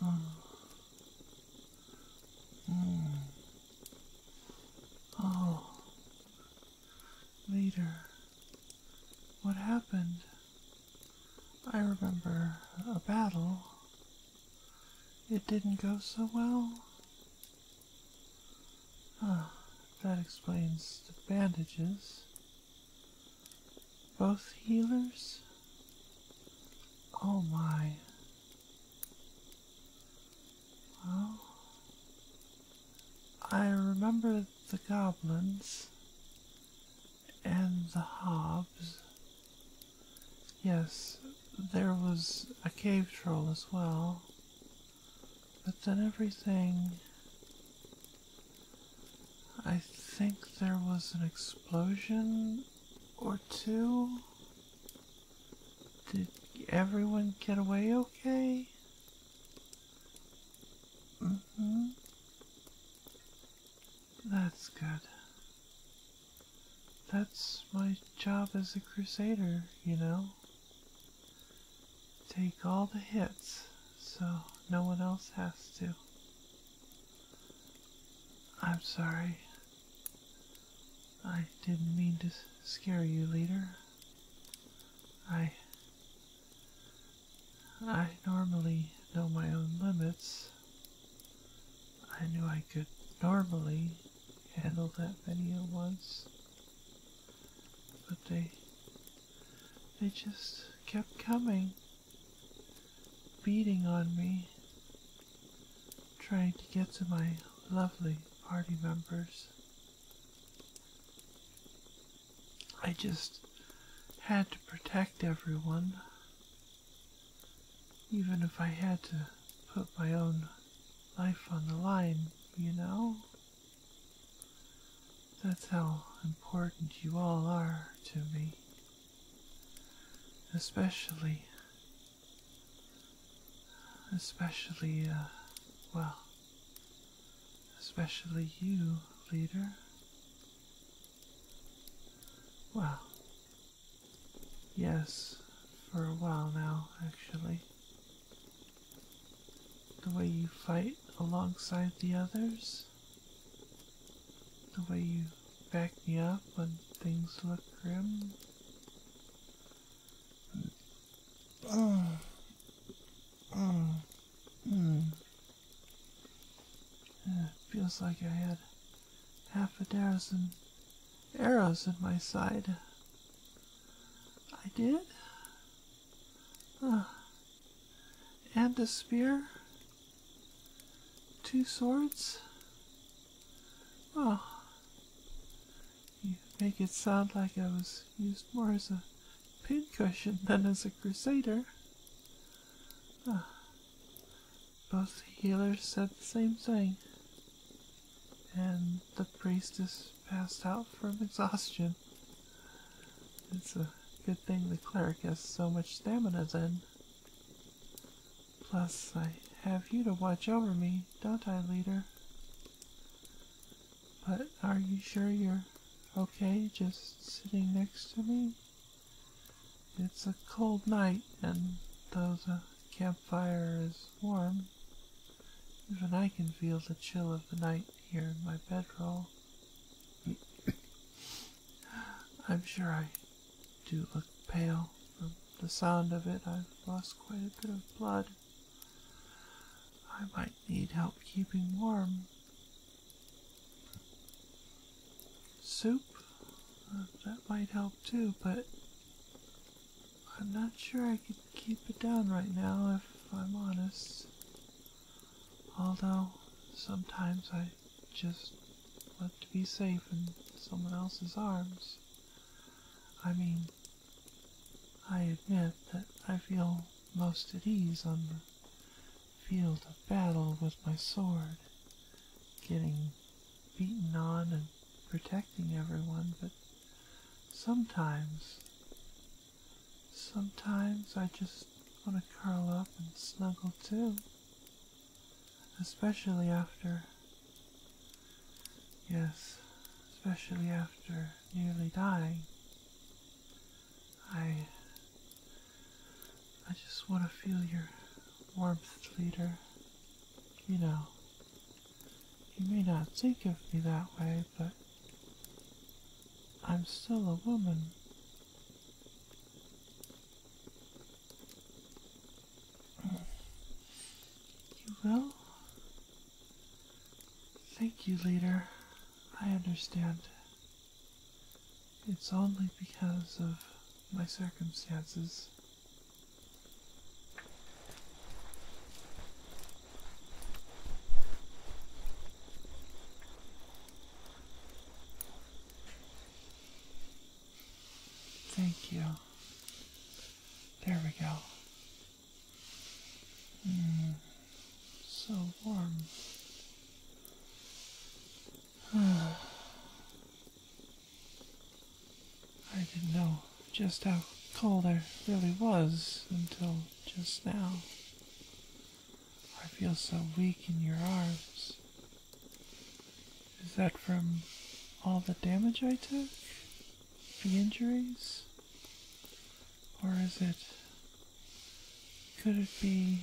Hmm. Hmm. Oh. Later. What happened? I remember a battle. It didn't go so well. Ah, that explains the bandages. Both healers? Oh my. Well, I remember the goblins and the hobs. Yes, there was a cave troll as well. But then everything. I think there was an explosion or two. Did everyone get away okay? Mm-hmm. That's good. That's my job as a crusader, you know. Take all the hits so no one else has to. I'm sorry. I didn't mean to scare you, leader. I. I normally know my own limits. I knew I could normally handle that video once, but they, they just kept coming, beating on me, trying to get to my lovely party members. I just had to protect everyone, even if I had to put my own life on the line, you know? That's how important you all are to me. Especially, especially, uh, well, especially you, leader. Well, Yes, for a while now, actually. The way you fight alongside the others, the way you back me up when things look grim. feels like I had half a dozen arrows in my side. I did? Ah. and a spear? Two swords? Oh, you make it sound like I was used more as a pincushion than as a crusader. Ah both healers said the same thing. And the priestess passed out from exhaustion. It's a good thing the cleric has so much stamina then. Plus, I have you to watch over me, don't I, leader? But are you sure you're okay just sitting next to me? It's a cold night, and those uh, fire is warm. Even I can feel the chill of the night here in my bedroll. I'm sure I do look pale from the sound of it. I've lost quite a bit of blood. I might need help keeping warm. Soup? Uh, that might help too, but I'm not sure I could keep it down right now if I'm honest. Although, sometimes I just want to be safe in someone else's arms. I mean, I admit that I feel most at ease on the field of battle with my sword, getting beaten on and protecting everyone, but sometimes, sometimes I just want to curl up and snuggle too. Especially after, yes, especially after nearly dying. I, I just want to feel your warmth, leader. You know, you may not think of me that way, but I'm still a woman. You will? Thank you, leader. I understand. It's only because of my circumstances Thank you. There we go. Mm, so warm. I didn't know just how cold I really was until just now. I feel so weak in your arms. Is that from all the damage I took? The injuries? Or is it. Could it be.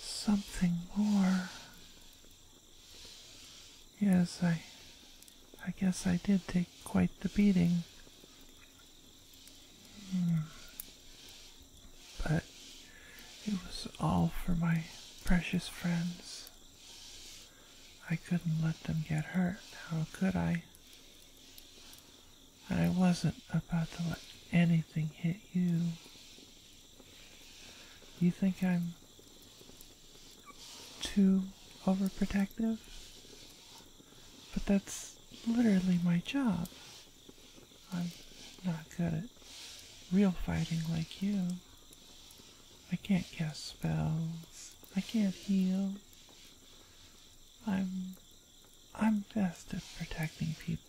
something more? Yes, I. I guess I did take quite the beating. Hmm. But it was all for my precious friends. I couldn't let them get hurt. How could I? I wasn't about to let anything hit you. You think I'm too overprotective? But that's literally my job. I'm not good at real fighting like you. I can't cast spells. I can't heal. I'm I'm best at protecting people.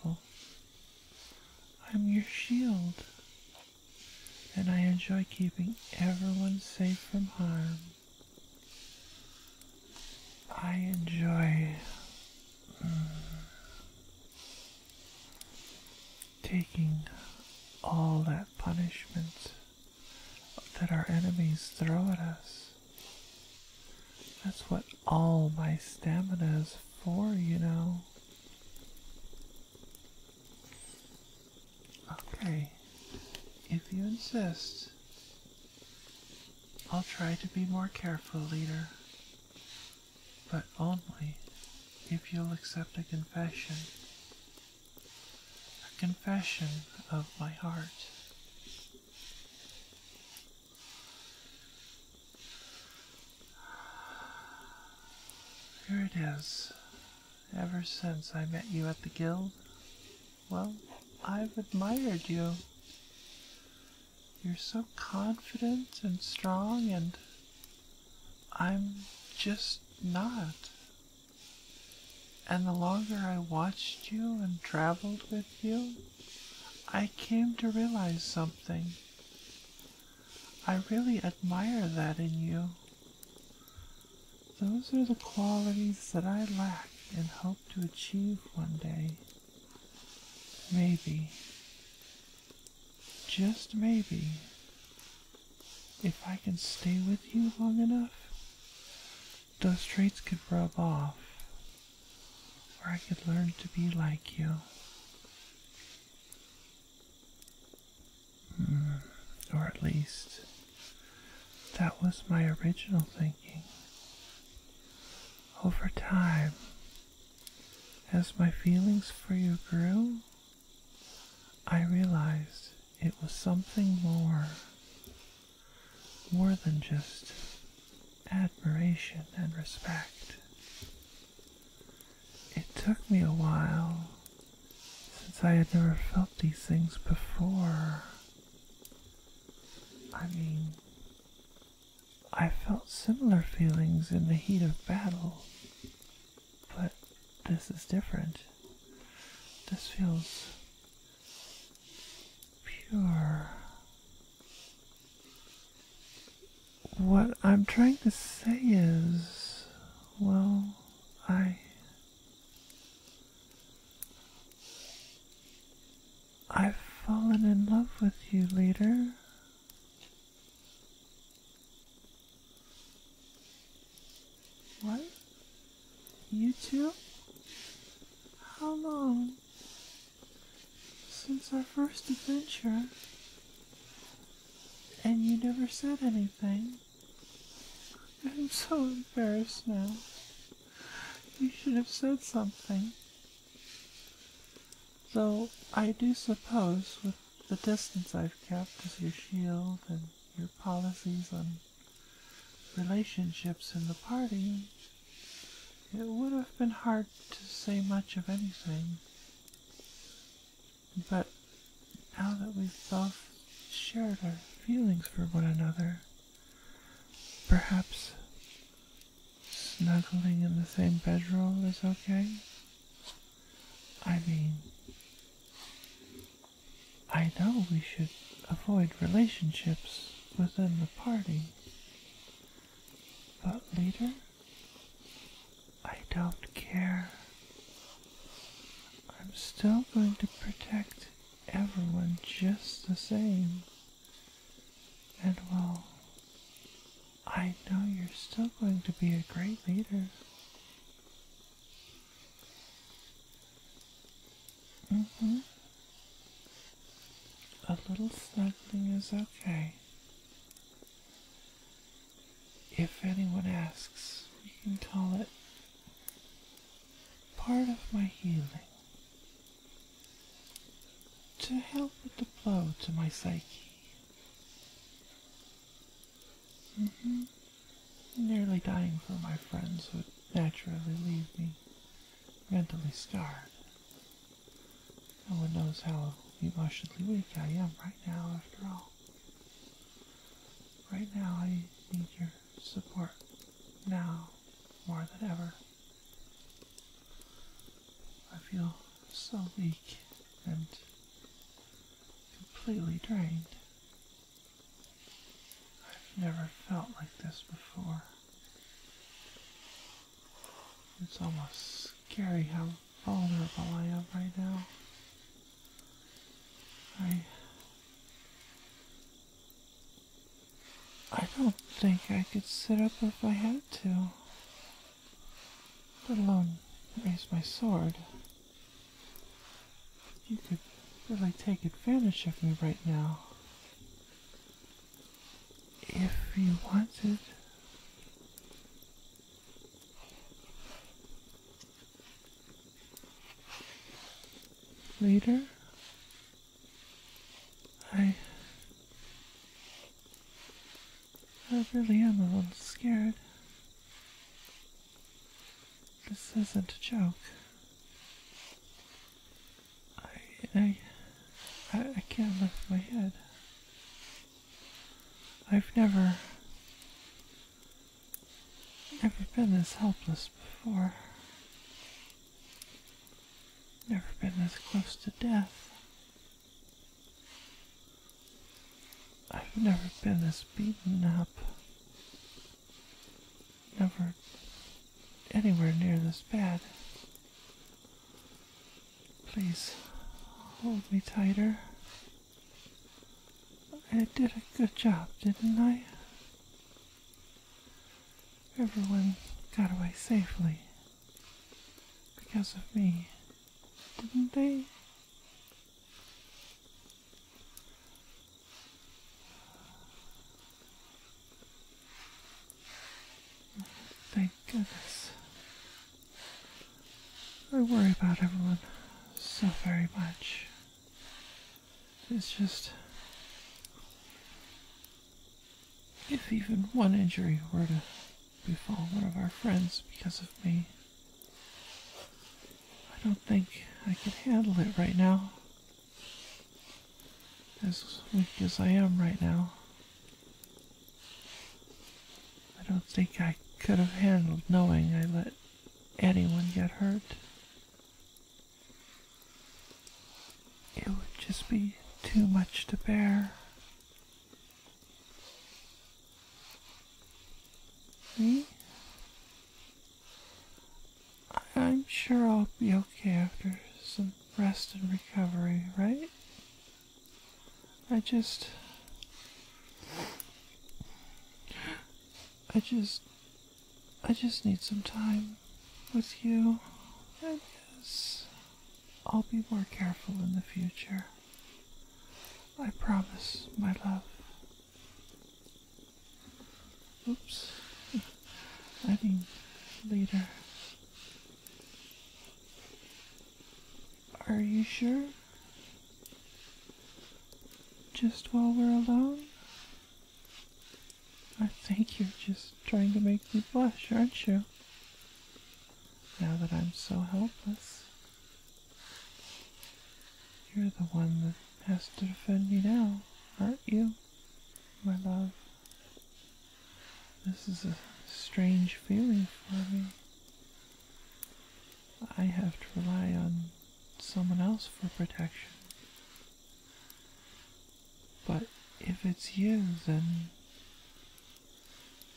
I'm your shield, and I enjoy keeping everyone safe from harm. I enjoy mm, taking all that punishment that our enemies throw at us. That's what all my stamina is for, you know. Okay, if you insist, I'll try to be more careful, leader, but only if you'll accept a confession. A confession of my heart. Here it is. Ever since I met you at the guild, well, I've admired you. You're so confident and strong, and I'm just not. And the longer I watched you and traveled with you, I came to realize something. I really admire that in you. Those are the qualities that I lack and hope to achieve one day. Maybe, just maybe, if I can stay with you long enough, those traits could rub off, or I could learn to be like you. Mm, or at least that was my original thinking. Over time, as my feelings for you grew, I realized it was something more, more than just admiration and respect. It took me a while since I had never felt these things before. I mean, I felt similar feelings in the heat of battle, but this is different. This feels pure what I'm trying to say is, well, I. I've fallen in love with you, leader. What? You too? How long? since our first adventure, and you never said anything. I'm so embarrassed now. You should have said something. Though I do suppose, with the distance I've kept as your shield and your policies on relationships in the party, it would have been hard to say much of anything, but now that we have both shared our feelings for one another, perhaps snuggling in the same bedroll is okay? I mean, I know we should avoid relationships within the party, but later, I don't care. I'm still going to protect everyone just the same. And well, I know you're still going to be a great leader. Mm-hmm. A little snuggling is okay. If anyone asks, we can call it part of my healing. To help with the blow to my psyche. Mm-hmm. Nearly dying for my friends would naturally leave me mentally scarred. No one knows how emotionally weak I am right now, after all. Right now, I need your support. Now, more than ever. I feel so weak and completely drained. I've never felt like this before. It's almost scary how vulnerable I am right now. I. I don't think I could sit up if I had to, let alone raise my sword. You could really take advantage of me right now if he want it. Later, I, I really am a little scared. This isn't a joke. I, I, I, can't lift my head. I've never, never been this helpless before. Never been this close to death. I've never been this beaten up. Never anywhere near this bad. Please hold me tighter. I did a good job, didn't I? Everyone got away safely because of me, didn't they? Thank goodness. I worry about everyone so very much. It's just. If even one injury were to befall one of our friends because of me, I don't think I could handle it right now as weak as I am right now. I don't think I could have handled knowing I let anyone get hurt. It would just be too much to bear. Me? I'm sure I'll be okay after some rest and recovery, right? I just. I just. I just need some time with you. I guess I'll be more careful in the future. I promise, my love. Oops. I mean, later. Are you sure? Just while we're alone? I think you're just trying to make me blush, aren't you? Now that I'm so helpless. You're the one that has to defend me now, aren't you, my love? This is a strange feeling for me. I have to rely on someone else for protection. But if it's you, then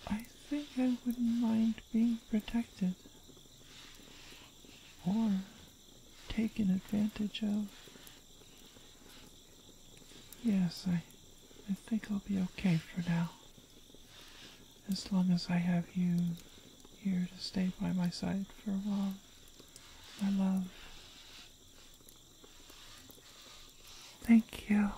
I think I wouldn't mind being protected or taken advantage of Yes, I, I think I'll be okay for now. As long as I have you here to stay by my side for a while, my love. Thank you.